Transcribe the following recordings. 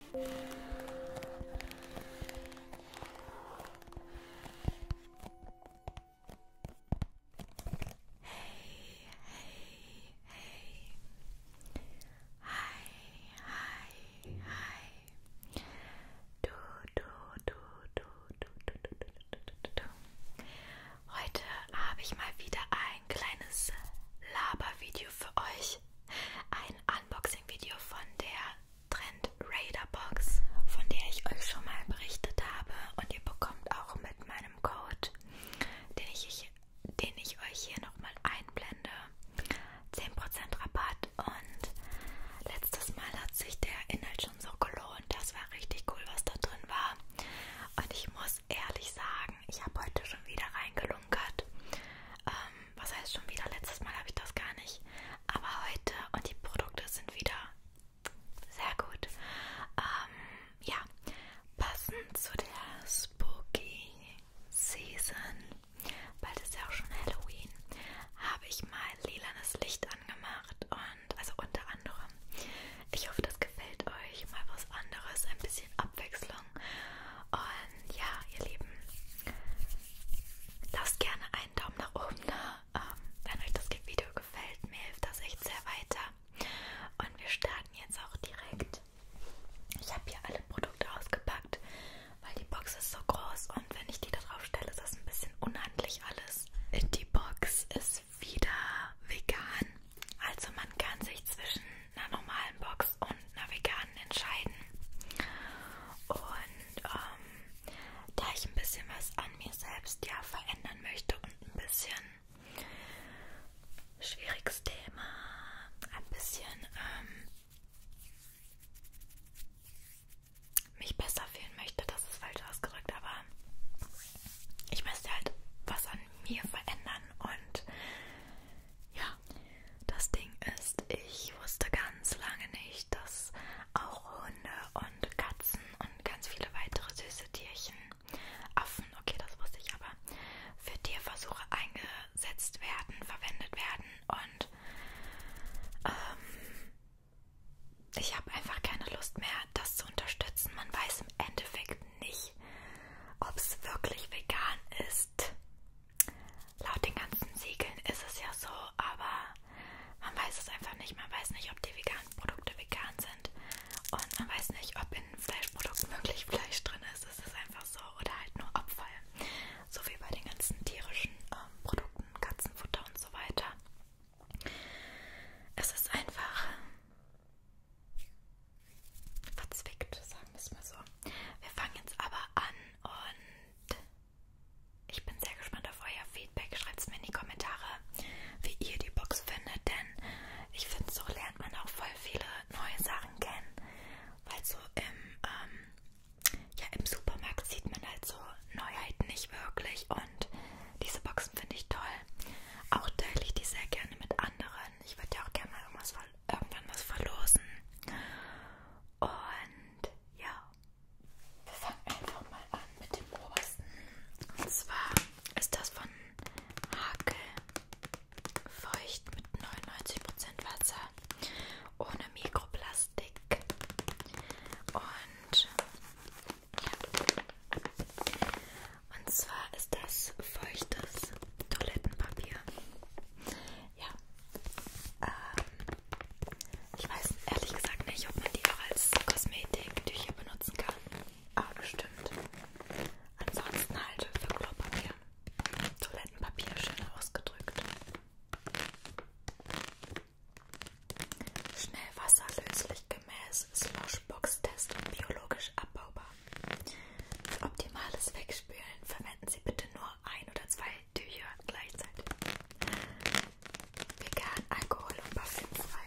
Hey, hey, hey. Hi, hi, hi. Du, du, du, du, du, du, du, du, du, du. Heute habe ich mal wieder ein kleines Labervideo für euch ein Unboxing-Video von der Trend Raider Box, von der ich euch schon mal berichtet habe und ihr bekommt auch mit meinem Code, den ich, den ich euch hier nochmal einblende, 10% Rabatt und letztes Mal hat sich der Inhalt schon so gelohnt, das war richtig cool, was da drin war und ich muss ehrlich sagen, ich habe heute schon wieder reingelunkert, ähm, was heißt schon wieder? Letztes Mal habe ich das gar nicht. Aber heute und die Produkte sind wieder sehr gut. Ähm, ja, passend zu der Spooky Season, bald ist ja auch schon Halloween, habe ich mal lilanes Licht angemacht und also unter anderem. Ich hoffe, das gefällt euch. Mal was anderes, ein bisschen abwechselnd. Beschreibung. Und ja, ihr Lieben, lasst gerne einen Daumen nach oben da, ähm, wenn euch das Video gefällt. Mir hilft das echt sehr weiter. Und wir starten jetzt auch direkt. Ich habe hier alle Produkte ausgepackt, weil die Box ist so groß und wenn ich die da drauf stelle, ist das ein bisschen unhandlich alles. Die Box ist wieder vegan. Also man kann sich zwischen einer normalen Box Snacks und einer veganen entscheiden. Und ähm, da ich ein bisschen was an mir selbst ja verändern möchte und ein bisschen schwieriges Thema, ein bisschen ähm, mich besser fühlen möchte, das ist falsch ausgedrückt, aber ich möchte halt was an mir verändern und ja, das Ding ist, ich wusste ganz lange nicht, dass auch Hunde und Katzen und ganz viele weitere süße Tierchen, Affen, okay, das wusste ich aber, für Tierversuche eingesetzt werden, verwendet werden und ähm, ich habe einfach keine Lust mehr, das zu unterstützen. Man weiß im Endeffekt nicht, ob es wirklich vegan ist. Laut den ganzen Siegeln ist es ja so, aber man weiß es einfach nicht. Man weiß nicht, ob die veganen Produkte vegan sind und man weiß nicht, ob in Fleischprodukten wirklich Fleisch drin ist. Es ist einfach so oder halt nur Abfall. So wie bei den ganzen tierischen ähm, Produkten, Katzenfutter und so weiter. Es ist einfach verzwickt, sagen wir es mal so. Wir fangen jetzt aber an und ich bin sehr gespannt auf euer Feedback. Schreibt es mir in die Kommentare, wie ihr die Box findet, denn ich finde, so lernt man auch voll viele neue Sachen kennen, weil so im, ähm, ja, im Supermarkt sieht man halt so Neuheiten nicht wirklich und diese Boxen finde ich toll. Auch teile ich die sehr gerne mit anderen an. Ich würde ja auch gerne mal irgendwas, irgendwann was verlosen. Und ja, wir fangen einfach mal an mit dem obersten. Und zwar ist das von Hakel. Feucht mit 99% Wasser. Ohne Mikroplastik. Und ja. Und zwar ist das feuchtes Toilettenpapier. Ja. Ähm, ich weiß ehrlich gesagt nicht, ob man die auch als Kosmetiktücher benutzen kann. Aber bestimmt. Ansonsten halt für Klopapier. Toilettenpapier schön ausgedrückt. Schnell wasserlöslich gemäß Sloshbox-Test und biologisch abbaubar. Für optimales Wegspülen verwenden Sie bitte nur ein oder zwei Tücher gleichzeitig. Vegan, Alkohol und parfümfrei.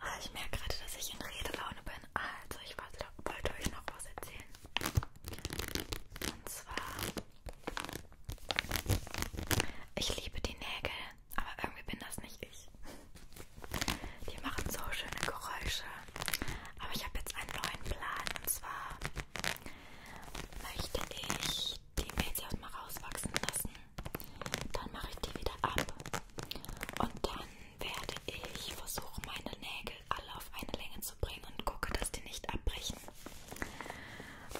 Oh, ich merke gerade, dass ich in Redelaune bin. Also, ich wollte, wollte euch noch was erzählen. Und zwar ich liebe die Nägel, aber irgendwie bin das nicht ich. Die machen so schöne Geräusche. Aber ich habe jetzt einen neuen Plan. Und zwar möchte ich die Mädels erstmal rauswachsen lassen. Dann mache ich die wieder ab. Und dann werde ich versuchen, meine Nägel alle auf eine Länge zu bringen und gucke, dass die nicht abbrechen.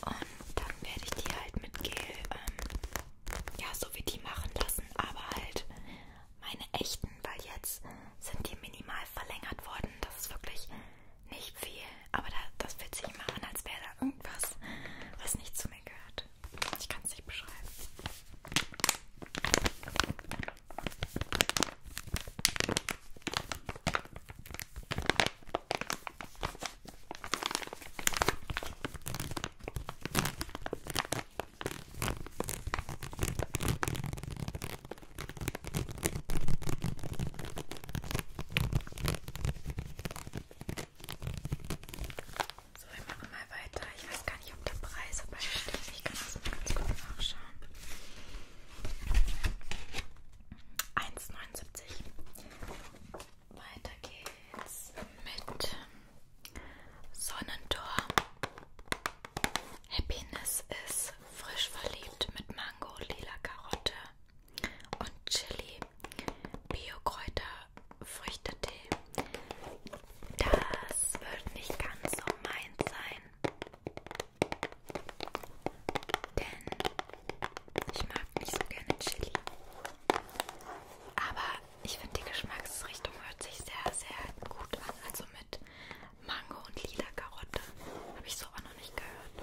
Und dann werde ich die halt mit Gel, ähm, ja, so wie die machen lassen, aber halt meine echten, weil jetzt sind die minimal verlängert worden. Das ist wirklich nicht viel, aber da, das fühlt sich immer an, als wäre da irgendwas, was nicht zu mir gehört. Ich kann es nicht beschreiben. So, wir machen mal weiter. Ich weiß gar nicht, ob der Preis aber steht. Ich kann das mal ganz kurz nachschauen. 1,79. Weiter geht's mit Sonnentor. Happiness ist frisch verliebt mit Mango, lila Karotte und Chili, Biokräuter, Früchtetee. Das wird nicht ganz so meins sein. Denn ich mag nicht so gerne Chili. Aber ich finde, die Geschmacksrichtung hört sich sehr, sehr gut an. Also mit Mango und lila Karotte. Habe ich so auch noch nicht gehört.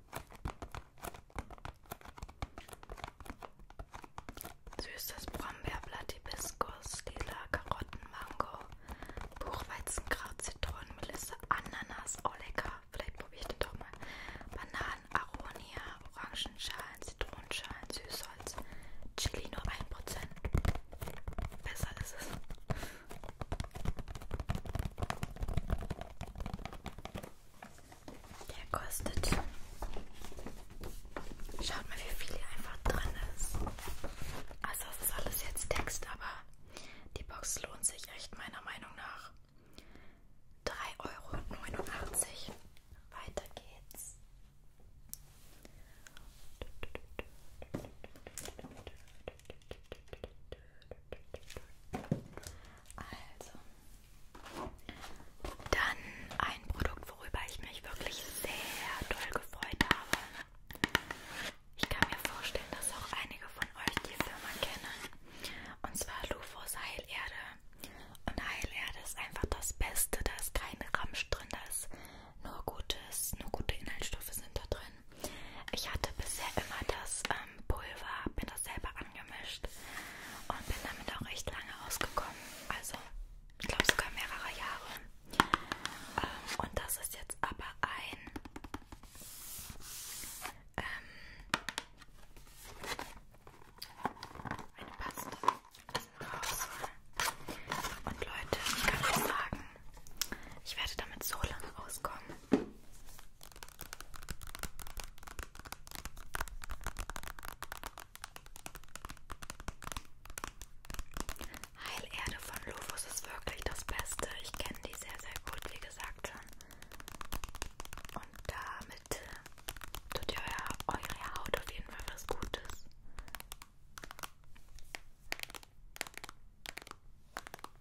Süßes Brombeerblatt, Hibiskus, lila Karotten, Mango, Buchweizenkraut, Zitronenmelisse, Ananas, oh lecker, vielleicht probiere ich den doch mal. Bananen, Aronia, Orangenschalen, Zitronenschalen, Süßholz, Chili nur 1%. Besser ist es. Der kostet. Schaut mal, wie viel hier einfach drin ist. Also es ist alles jetzt Text, aber die Box lohnt sich echt meiner Meinung nach. 3,89 Euro. Weiter geht's. Also, dann ein Produkt, worüber ich mich wirklich sehr doll gefreut habe. Ich kann mir vorstellen, dass auch einige von euch die Firma kennen. Und zwar Lufos Heilerde. Und Heilerde ist einfach das Beste, da ist kein Ramsch drin, da ist nur Gutes, nur gute Inhaltsstoffe sind da drin. Ich hatte bisher immer das ähm, Pulver, habe mir das selber angemischt und bin damit auch recht lange ausgekommen. Also, ich glaube sogar mehrere Jahre. Ähm, und das ist jetzt aber ein. Ähm, eine Paste. Raus. Und Leute, ich kann euch sagen, ich werde damit so lange rauskommen. Heilerde von Lufus ist wirklich das Beste. Ich kenne die sehr, sehr gut, wie gesagt schon. Und damit tut ihr euer, eure Haut auf jeden Fall was Gutes.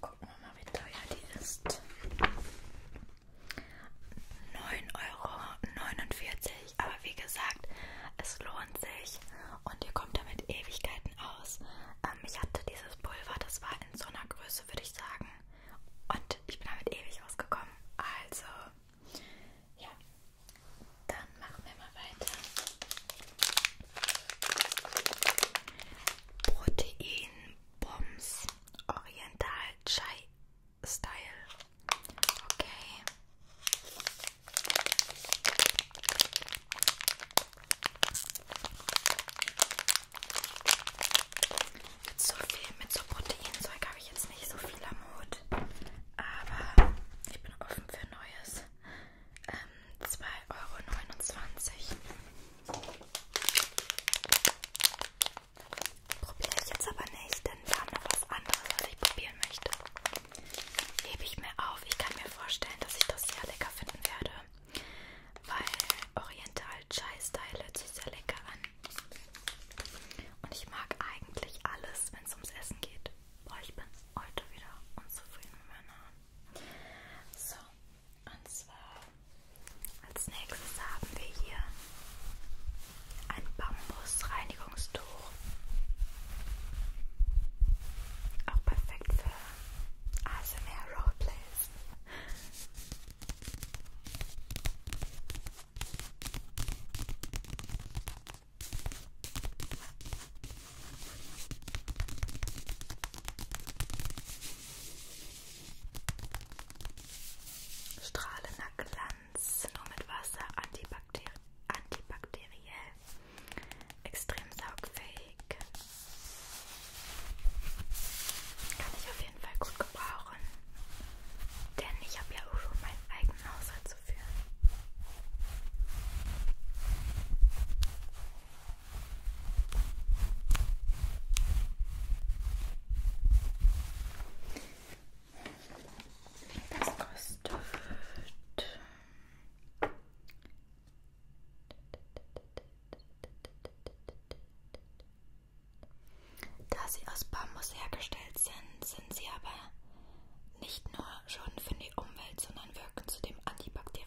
Gucken wir mal, wie teuer die ist. 9,49 Euro. Aber wie gesagt, es lohnt sich und ihr kommt damit Ewigkeiten aus. Ähm, ich hatte dieses Pulver, das war in so einer Größe, würde ich sagen. Und ich bin damit ewig ausgekommen. Also, ja. Dann machen wir mal weiter. Proteinbombs. Oriental Chai Style. Okay. Mit so viel, mit so Proteinzeug habe ich jetzt nicht so viel am Hut. Aber ich bin offen für Neues. Ähm, 2,29 Euro. Probiere ich jetzt aber nicht, denn wir haben noch was anderes, was ich probieren möchte. Hebe ich mir auf. Ich kann mir vorstellen, dass ich das sehr lecker finden werde, weil Oriental Chai Style hört sich sehr lecker an. Und ich mag eigentlich alles, wenn es ums Essen geht. Boah, ich bin heute wieder unzufrieden mit meiner Hand. So, und zwar als nächstes haben wir hier ein Bambusreinigungstuch. Auch perfekt für ASMR Roleplays. Strahlender Glanz, nur mit Wasser, antibakter antibakteriell, extrem saugfähig. Kann ich auf jeden Fall gut gebrauchen, denn ich habe ja auch schon meinen eigenen Haushalt zu führen. Das kostet. Da sie aus Bambus hergestellt sind, sind sie aber nicht nur schon für die Umwelt, sondern wirken zudem antibakteriell.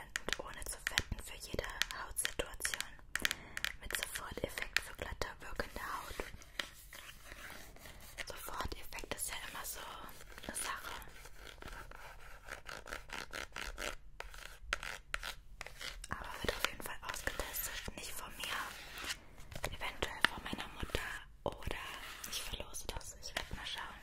Hautband ohne zu fetten für jede Hautsituation. Mit Soforteffekt für glatter wirkende Haut. Soforteffekt ist ja immer so eine Sache. Aber wird auf jeden Fall ausgetestet. Nicht von mir, eventuell von meiner Mutter. Oder ich verlose das. Ich werde mal schauen.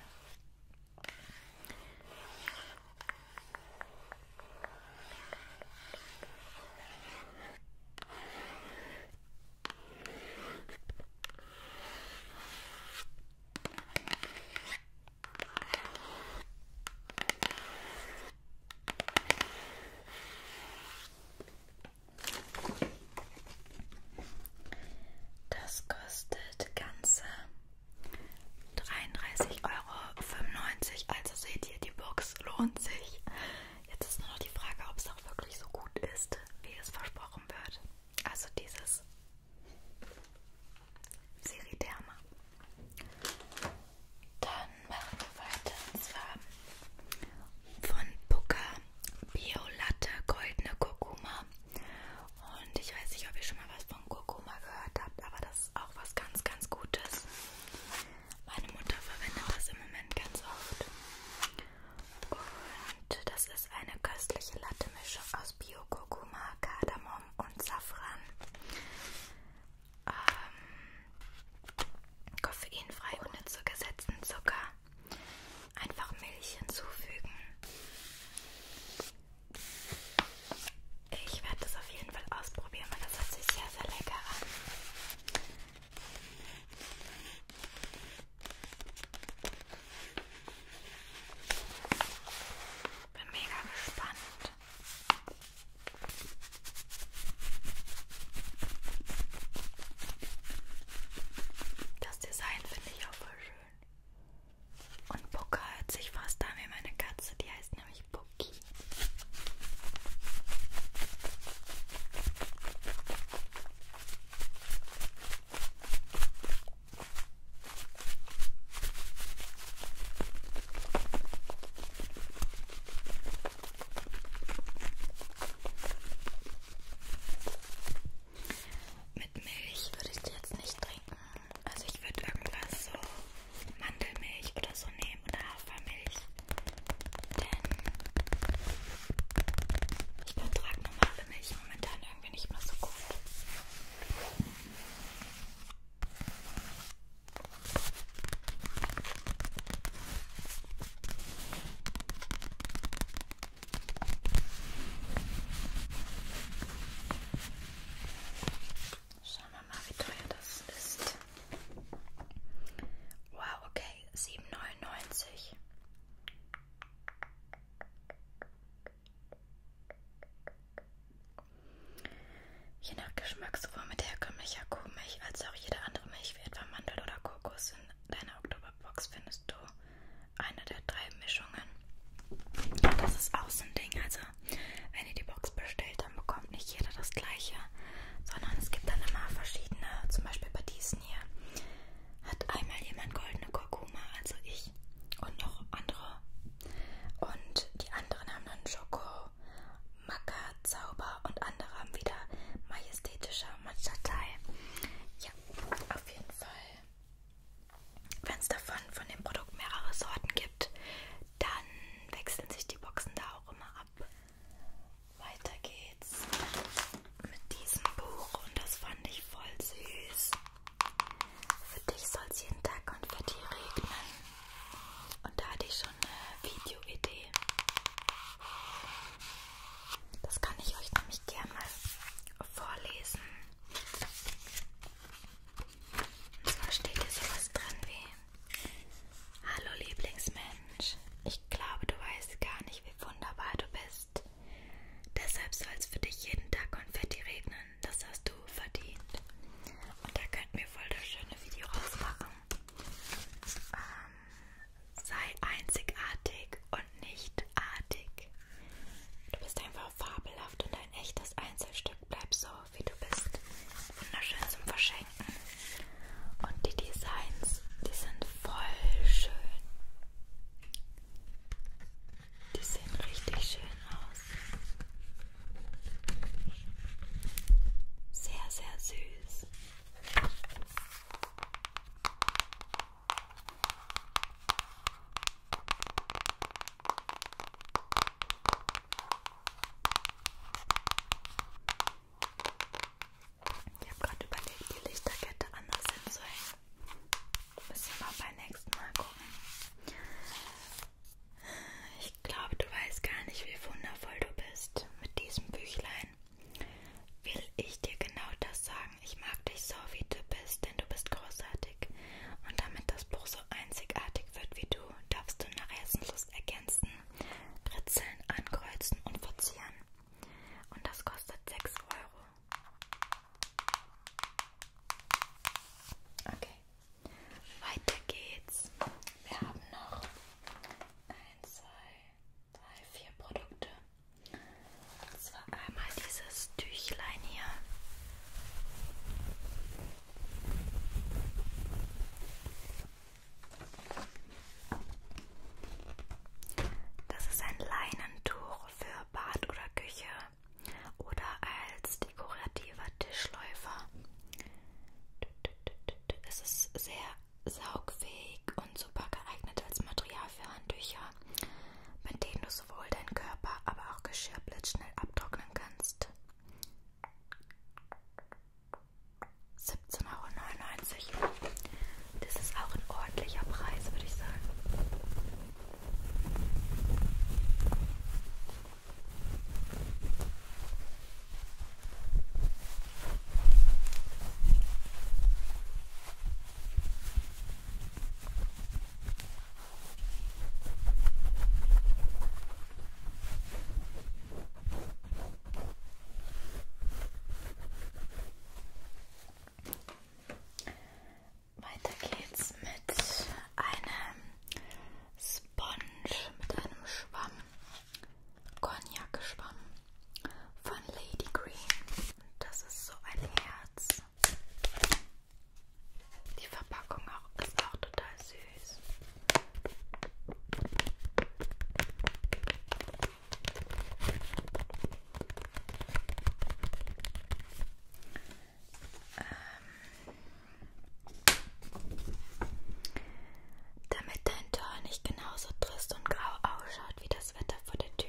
Das kostet ganze 33,95 Euro. Also seht ihr, die Box lohnt sich. Jetzt ist nur noch die Frage, ob es auch wirklich so gut ist, wie es versprochen wird. Also dieses Seriderma. Dann machen wir weiter und zwar von Puka Bio Latte Goldene Kurkuma. Und ich weiß nicht, ob ihr schon mal was von Kurkuma gehört habt, aber das das ist auch was ganz, ganz Gutes. Meine Mutter verwendet das im Moment ganz oft. Und das ist eine köstliche Latte-Mischung aus Bio-Kurkuma, Kardamom und Safran. Ähm, koffeinfrei ohne zugesetzten Zucker. Einfach Milch hinzufügen. Ich werde das auf jeden Fall ausprobieren, weil das hört sich sehr, sehr lecker an. Bin mega gespannt. Das Design finde ich auch voll schön. Und Pucka hört sich fast an wie meine Katze, die heißt nämlich Pucki. Mit Milch würde ich die jetzt nicht trinken. Also ich würde irgendwas so Mandelmilch oder so nehmen oder Hafermilch. Denn ich vertrage normale Milch momentan irgendwie nicht mehr so gut. Schauen wir mal, wie teuer das ist. Wow, okay, 7,99. Je nach Geschmack sowohl mit herkömmlicher Kuhmilch als auch jede andere Milch wie etwa Mandel oder Kokos in deiner Oktoberbox findest du eine der drei Mischungen Mischungen. Das ist auch so ein Ding. Also, wenn ihr die Box bestellt, dann bekommt nicht jeder das gleiche, sondern es gibt dann immer verschiedene. Zum Beispiel bei diesen hier hat einmal jemand goldene Kurkuma, also ich und noch andere. Und die anderen haben dann Schoko, Maca, Zauber und andere haben wieder majestätischer Matschatei. Ja, auf jeden Fall wenn es davon von dem Produkt mehrere Sorten gibt, dann wechseln sich die Boxen da auch immer ab. Weiter geht's mit diesem Buch und das fand ich voll süß. Für dich soll es jeden Tag Konfetti regnen. Und da hatte ich schon eine Videoidee. Das kann ich euch nämlich gerne mal vorlesen. Und zwar steht hier sowas drin wie: Hallo Lieblingsmensch, ich glaube, du weißt gar nicht, wie wunderbar du bist. Deshalb soll es für dich jeden Tag Konfetti regnen. Das hast du verdient. Und da könnten wir voll das schöne Video rausmachen. Ähm, sei einzigartig und nicht artig. Du bist einfach fabelhaft und ein echtes Einzelstück. Bleib so, wie du bist. Wunderschön zum Verschenken. Und die Designs, die sind voll schön. Die sehen richtig schön aus. Sehr, sehr süß. Ich habe gerade überlegt, die Lichterkette anders hinzuhängen. Müssen wir mal beim nächsten Mal gucken. Ich glaube, du weißt gar nicht, wie wundervoll du bist mit diesem Büchlein. Will ich dir genau das sagen? Ich mag dich so, wie du bist, denn du bist großartig einzigartig. Und damit das Buch so einzigartig wird wie du, darfst du nach Essenslust ergänzen, kritzeln, ankreuzen und verzieren. Und das kostet 6 Euro. Okay, weiter geht's. Wir haben noch 1, 2, 3, 4 Produkte. Und zwar einmal dieses Tüchlein hier. Das ist ein Leinentuch für Bad oder Küche oder als dekorativer Tischläufer. Es ist sehr saugfähig und super geeignet als Material für Handtücher, mit denen du sowohl deinen Körper, aber auch Geschirr blitzschnell abtrocknen kannst. 17,99 Euro. Das ist auch ein ordentlicher Preis, würde ich sagen. Weiter geht's mit einem Sponge, mit einem Schwamm, Cognac-Schwamm von Lady Green. Das ist so ein Herz. Die Verpackung auch, ist auch total süß. Ähm. Damit dein Tor nicht genauso trist und grau ausschaut wie das Wetter vor der Tür,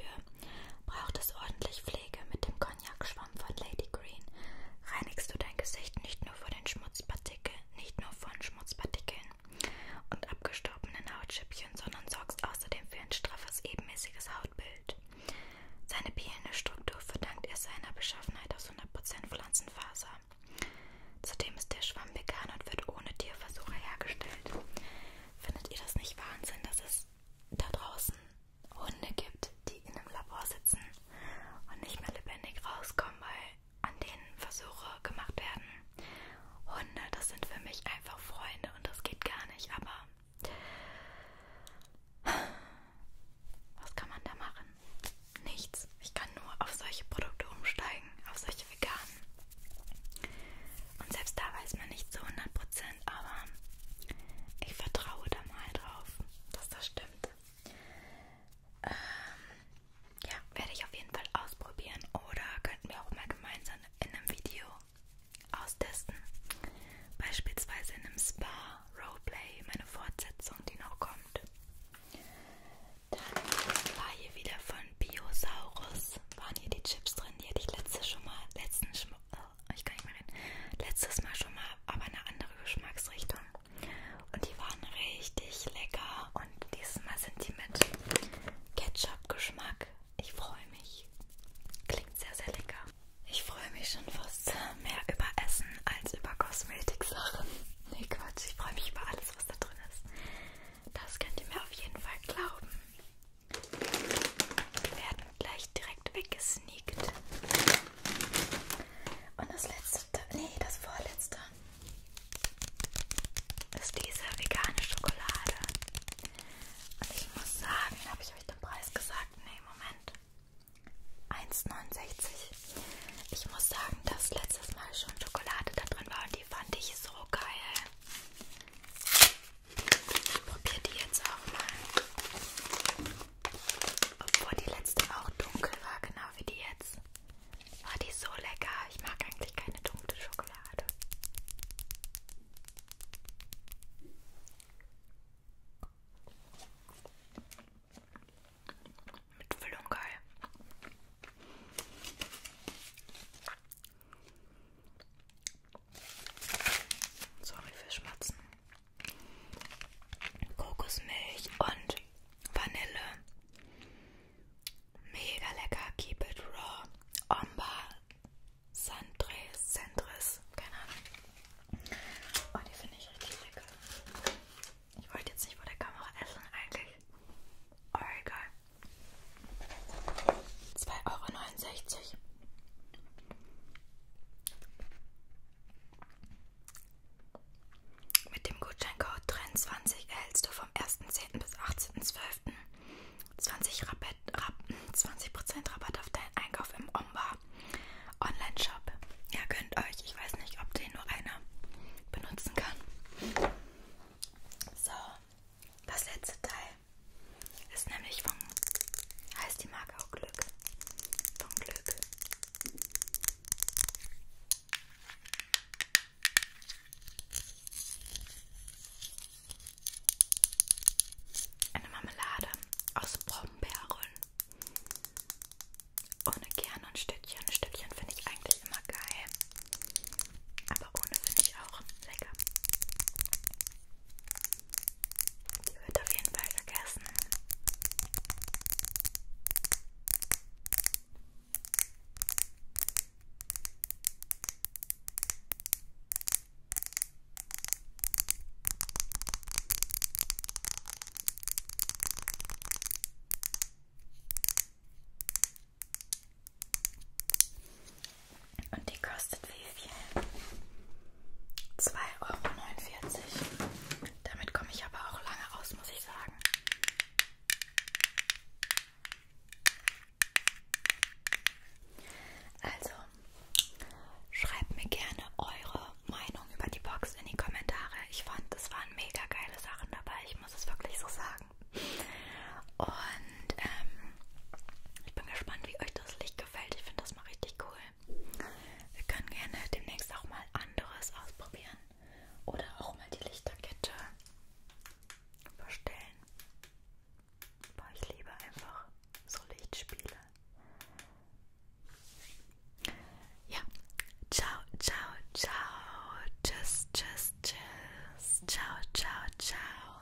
braucht es ordentlich Pflege mit dem Cognac-Schwamm von Lady Green. Reinigst du dein Gesicht nicht nur vor den Schmutzpartikeln, nicht nur von Schmutzpartikeln und abgestorbenen Hautschüppchen, sondern sorgst außerdem für ein straffes, ebenmäßiges Hautbild. Seine bielende Struktur verdankt er seiner Beschaffenheit aus 100% Pflanzenfaser. Zudem ist der Schwamm vegan und wird ohne Tierversuche hergestellt. Findet ihr das nicht Wahnsinn, dass es da draußen Hunde gibt, die in einem Labor sitzen und nicht mehr lebendig rauskommen, weil an denen Versuche gemacht werden. Hunde, das sind für mich einfach Freunde und das geht gar nicht, aber was kann man da machen? Nichts. Ich kann nur auf solche Produkte umsteigen, auf solche veganen. Und selbst da weiß man nicht zu 100%, sind, aber ich vertraue da mal drauf, dass das stimmt. Ähm, ja, werde ich auf jeden Fall ausprobieren oder könnten wir auch mal gemeinsam in einem Video austesten. Beispielsweise in einem Spa Roleplay, meine Fortsetzung, die noch kommt. Dann war hier wieder von Biosaurus, waren hier die Chips drin, die hatte ich letzte schon mal, letzten Oh, ich kann nicht mehr reden, letztes Mal schon mal, aber eine andere Geschmacksrichtung. Und die waren richtig lecker. Und dieses Mal sind die mit Ketchup-Geschmack. Ich freue mich. Klingt sehr, sehr lecker. Ich freue mich schon fast mehr über Essen als über Kosmetiksachen. Nee, Quatsch. Ich freue mich über alles, was da drin ist. Das könnt ihr mir auf jeden Fall glauben. Wir werden gleich direkt weggesneakt. Und das letzte, nee, das vorletzte ist diese vegane Schokolade. Und ich muss sagen, habe ich euch den Preis gesagt? Nee, Moment. 1,69. Ich muss sagen, dass letztes Mal schon Schokolade da drin war und die fand ich so geil. Ich probiere die jetzt auch mal. Obwohl die letzte auch dunkel war, genau wie die jetzt. War oh, die so lecker. Ich mag eigentlich keine dunkle Schokolade. Mit Füllung geil. Sorry für Schmatzen. Kokosmilch und Vanille. Mega lecker. Keep it raw. Omba. Sandres. Sandres. Keine Ahnung. Oh, die finde ich richtig lecker. Ich wollte jetzt nicht vor der Kamera essen eigentlich. Oh, egal. 2,69 Euro. Mit dem Gutscheincode TREND20 erhältst du vom 1.10. bis 18.12. 20%, Rabatt, Rab, 20 Rabatt auf deinen Einkauf im Omba Online-Shop. Ihr könnt euch, ich weiß nicht, ob den nur einer benutzen kann. So, das letzte Teil. Ist nämlich von, heißt die Marke auch Glück. Von Glück. Eine Marmelade aus Brombeeren. Ohne Kern und Stückchen. Stückchen finde ich eigentlich immer geil. Aber ohne finde ich auch lecker. Die wird auf jeden Fall gegessen. Und die kostet wie viel? 2,49 Euro. Damit komme ich aber auch lange aus, muss ich sagen. Also, schreibt mir gerne eure Meinung über die Box in die Kommentare. Ich fand, es waren mega geile Sachen dabei. Ich muss es wirklich so sagen. Und ähm, ich bin gespannt, wie euch das Licht gefällt. Ich finde das mal richtig cool. Wir können gerne demnächst auch mal anderes ausprobieren. Oder auch mal die Lichterkette verstellen. Aber ich liebe einfach so Lichtspiele. Ja, ciao, ciao, ciao. Tschüss, tschüss, tschüss. Ciao, ciao, ciao.